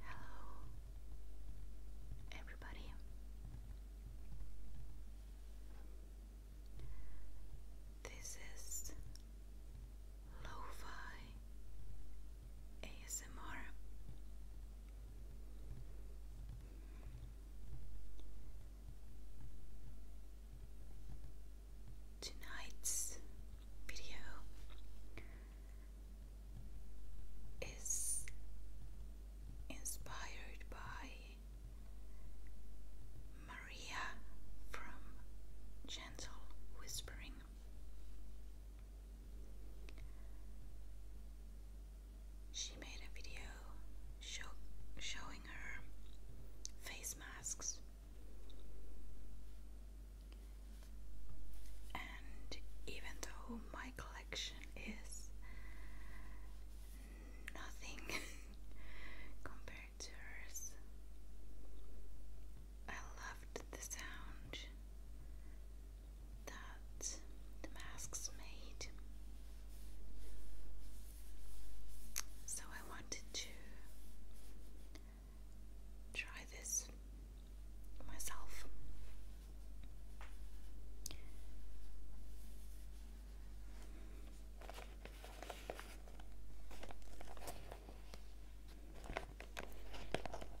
Hello, everybody. This is lo ASMR. Tonight's video is inspired by Maria from Gentle Whispering. She made a video showing her face masks, and even though my collection is nothing compared to hers, I loved the sound that the masks made. So I wanted to try this myself.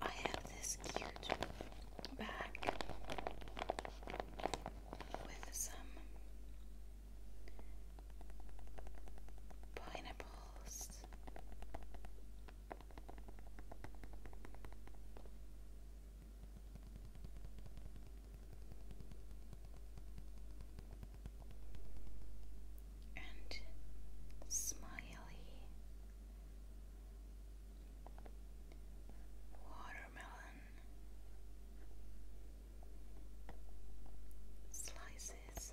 I have this cute bag with some pineapples. And smiley watermelon watermelon slices.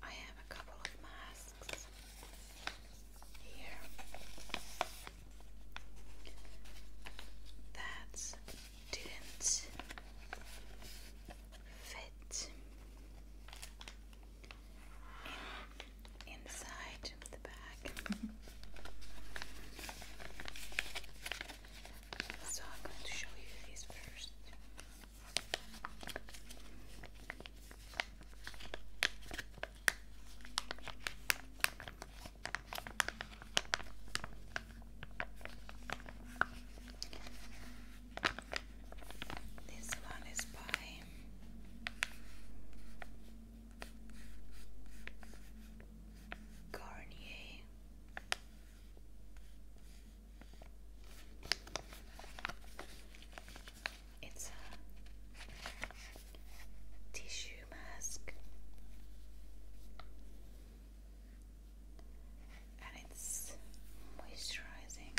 I have a couple of masks here that didn't fit in, inside the bag. so I'm going to show you these first. This one is by Garnier. It's a tissue mask. And it's moisturizing.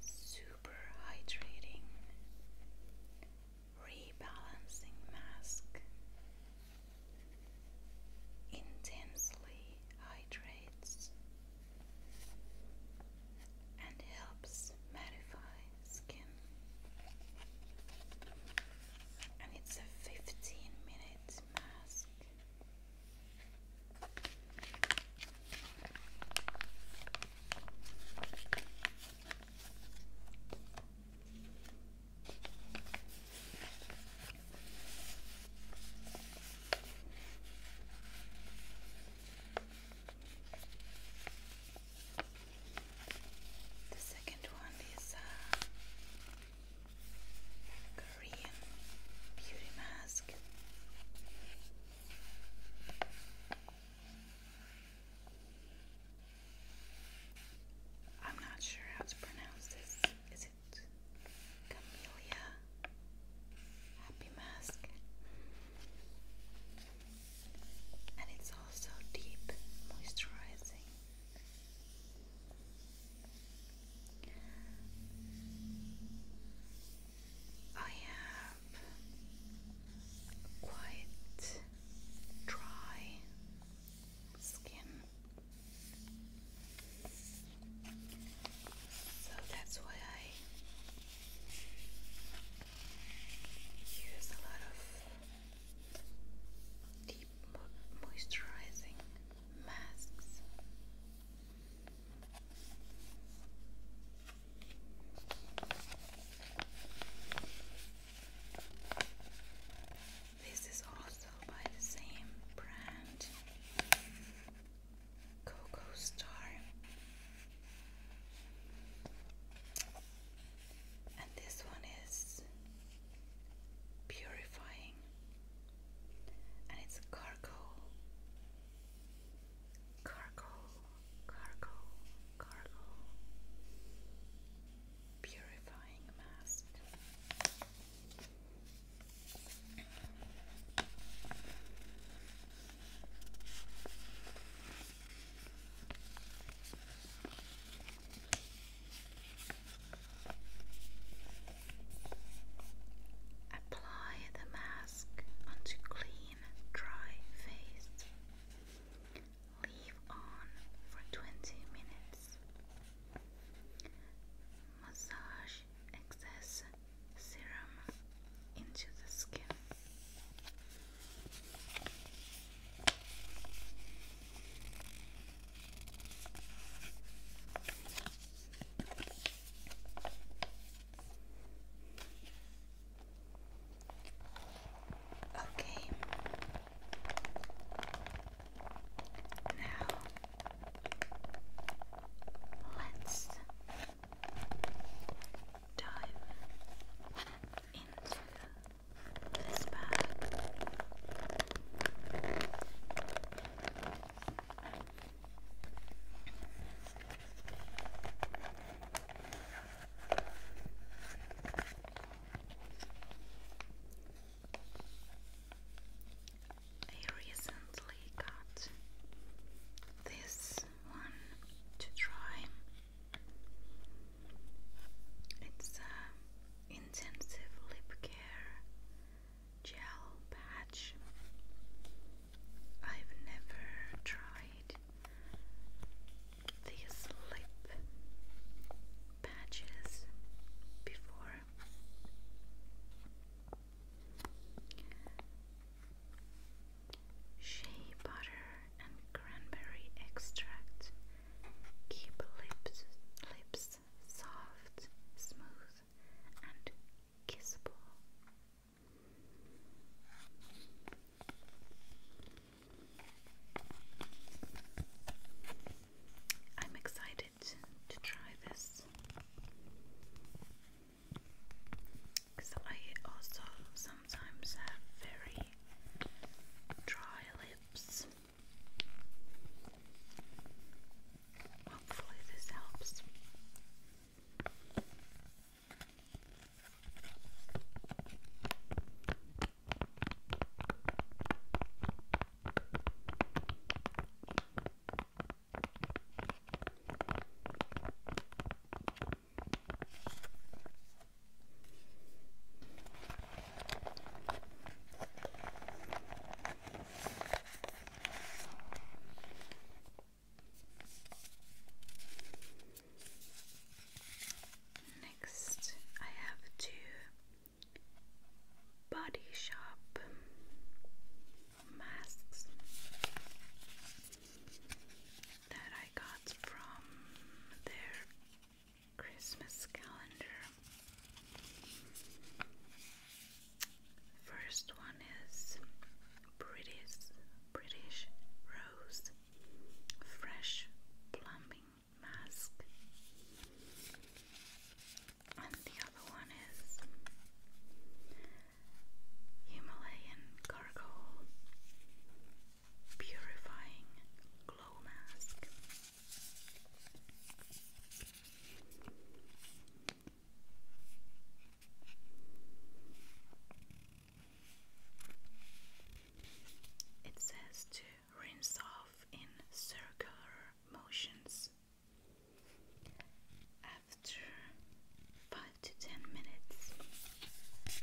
Super hydrating, rebalancing mask. Intensely hydrates and helps mattify skin. And it's a 15 minute mask. The second one is uh, Korean beauty mask. I'm not sure how to pronounce this. Is it Camellia? happy mask. And it's also deep moisturizing. I have quite dry skin, so that's why I use a lot of deep moisturizing masks. This is also by the same brand. Coco Star. And this one is purifying, and it's cargo, cargo, cargo, cargo, purifying mask. Apply the mask onto clean, dry face. Leave on for 20 minutes. Massage excess serum into the skin. Okay. Now let's dive into this bag. I recently got this one to try. It's a uh, intensive lip care gel patch. I've never tried these lip patches before. Shea butter and cranberry extract keep lips lips soft, smooth, and kissable. I'm excited to try this. Because I also sometimes have very dry lips. Hopefully, this helps. Next, I have two Body Shop masks that I got from their Christmas calendar. First one is British British Rose Fresh Plumbing Mask. And the other one is Himalayan Charcoal Purifying Glow Mask. It says to rinse off in circular motions after five to ten minutes. Oh, this is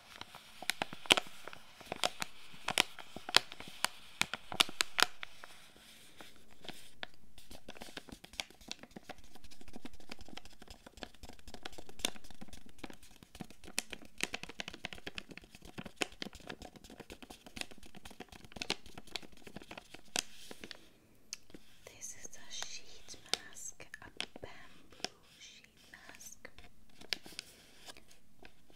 This is a sheet mask, a bamboo sheet sheet mask.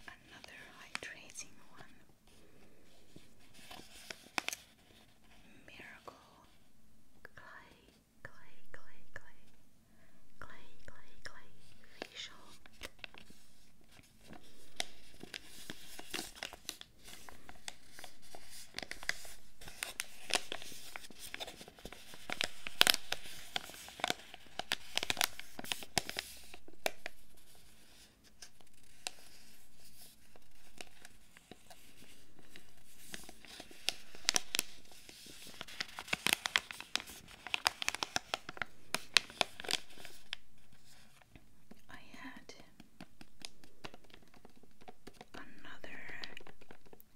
Another hydrating one. Miracle clay, clay, clay, clay, clay, clay, clay facial. I had another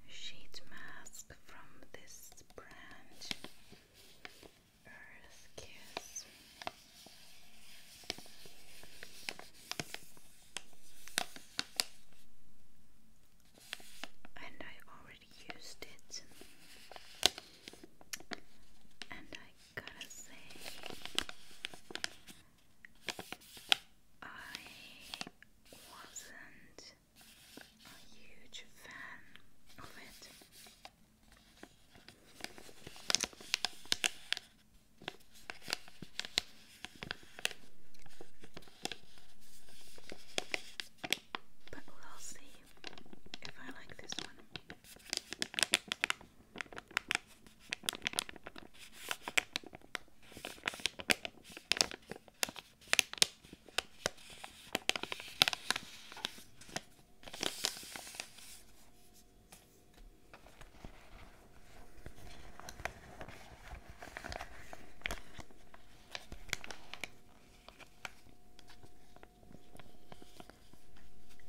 sheet mask from this brand Earth Kiss. And I already used it, and I gotta say, I wasn't a huge fan of it. But we'll see if I like this one.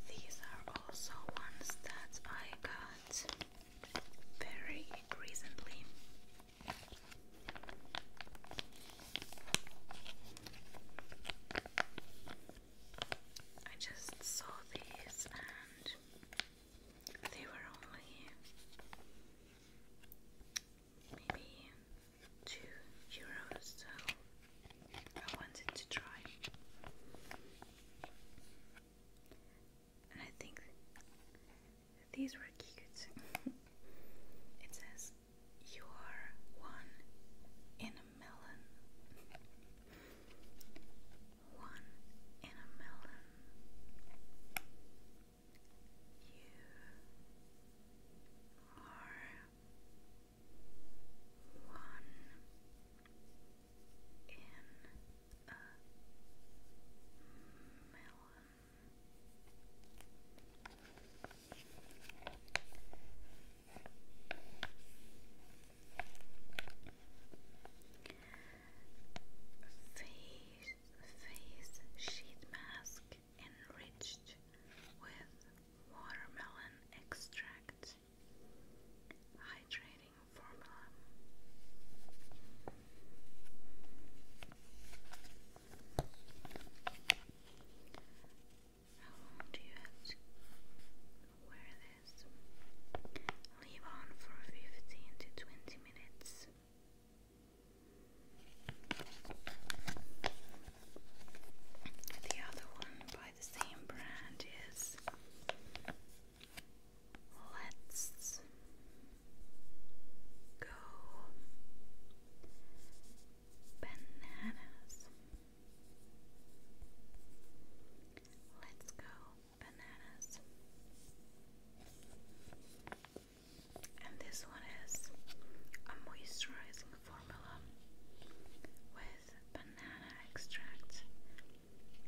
These are also ones that I got very recently. I just saw these and they were only maybe two euros, so I wanted to try. And I think these were cute. it says, You are one in a melon. One in a melon. You are one in a melon. Face, face sheet mask enriched with watermelon extract, hydrating formula. How long do you have to wear this? Leave on for 15 to 20 minutes. The other one by the same brand is Let's go bananas. Let's go bananas. And this one is a moisturizing formula with banana extract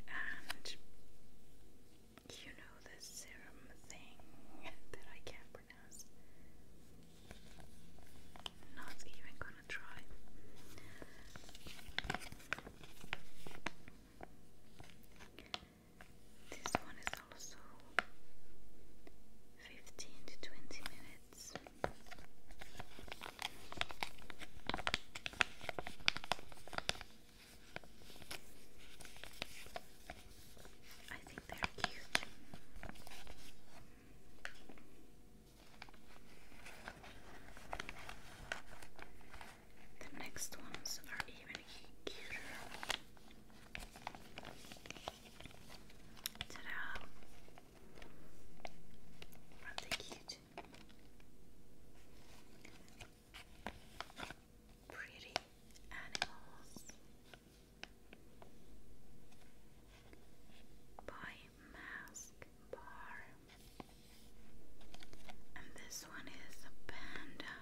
and you know the serum thing that I can't pronounce. Not even gonna try. This one is also 15 to 20 minutes. I think they're cute. The next ones are even cuter. Ta-da! are cute? pretty animals by Mask Bar, and this one is a panda.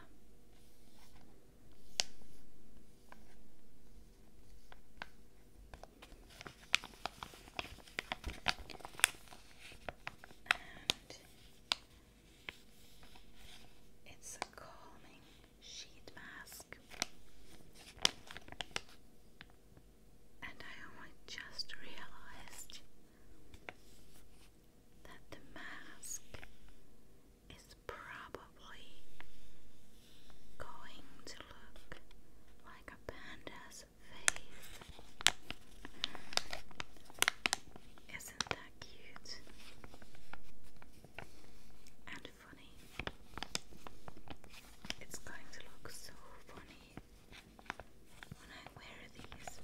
It's a calming sheet mask. And I just realized that the mask is probably going to look like a panda's face. Isn't that cute? and funny. It's going to look so funny when I wear these.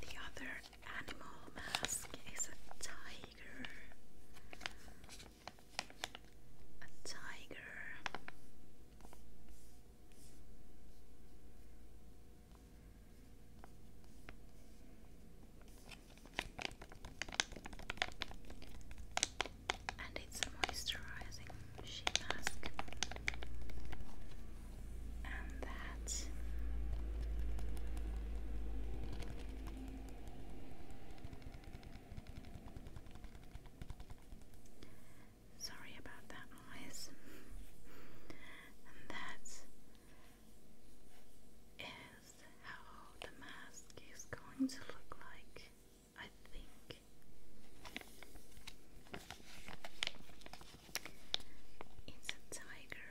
The other animal mask is a tiger. A tiger. And it's a moisturizing sheet mask. And that Sorry about that noise. that is how the mask is going to look like, I think. It's a tiger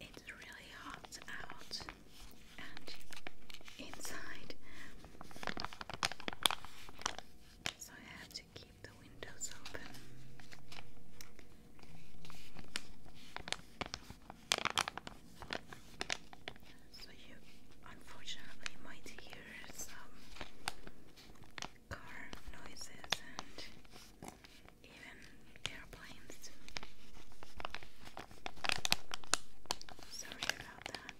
it's really hot out and inside, so I have to keep the windows open. So you unfortunately might hear some car noises and even airplanes. Sorry about that.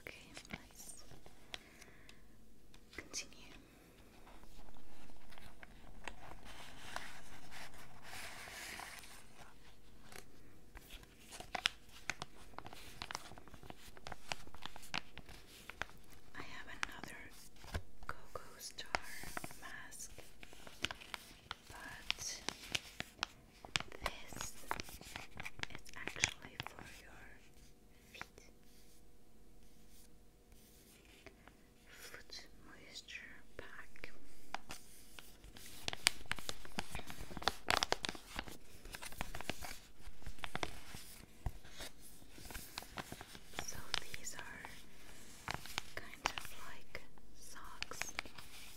Okay, let continue. I have another Cocoa Star mask, but this is actually for your Foot moisture pack. So these are kind of like socks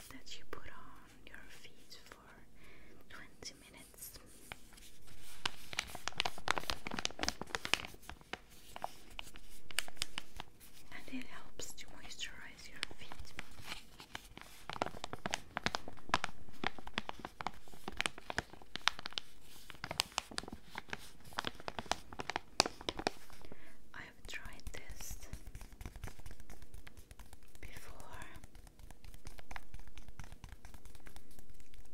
that you put on your feet for 20 minutes. And it helps to moisturize your feet. I have tried this before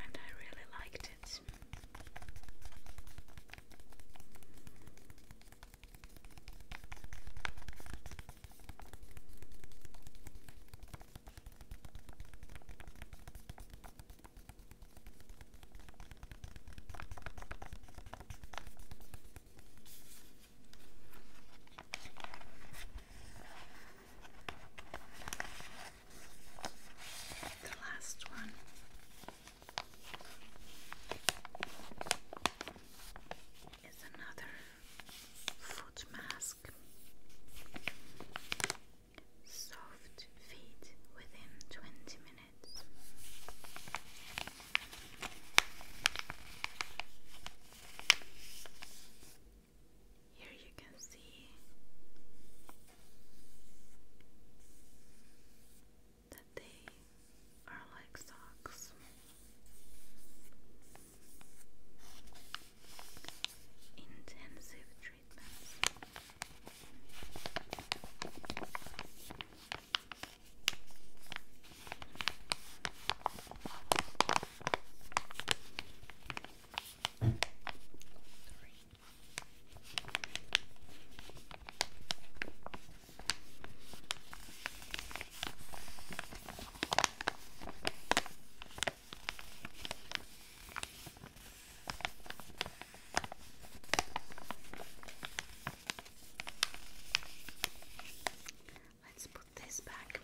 and I really liked it the last one. Is another foot mask. Soft feet within 20 minutes. Here you can see that they are like socks. Intensive treatments. Three. Let's put this back.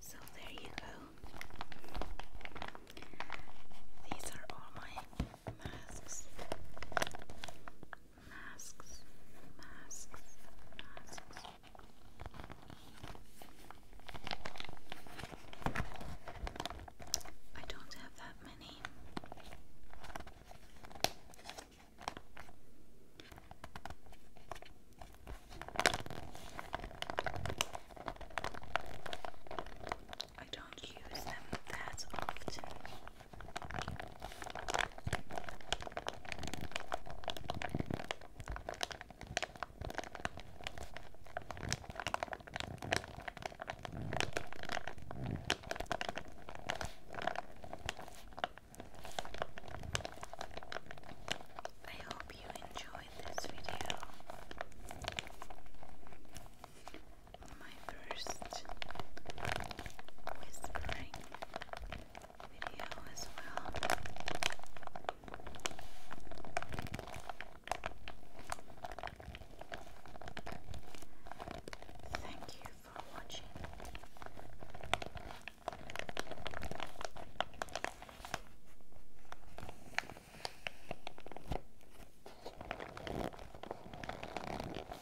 So there you go. These are all my masks, masks, masks, masks. I don't have that many. I don't use them that often. I hope you enjoyed this video my first whispering video as well. Thank you for watching.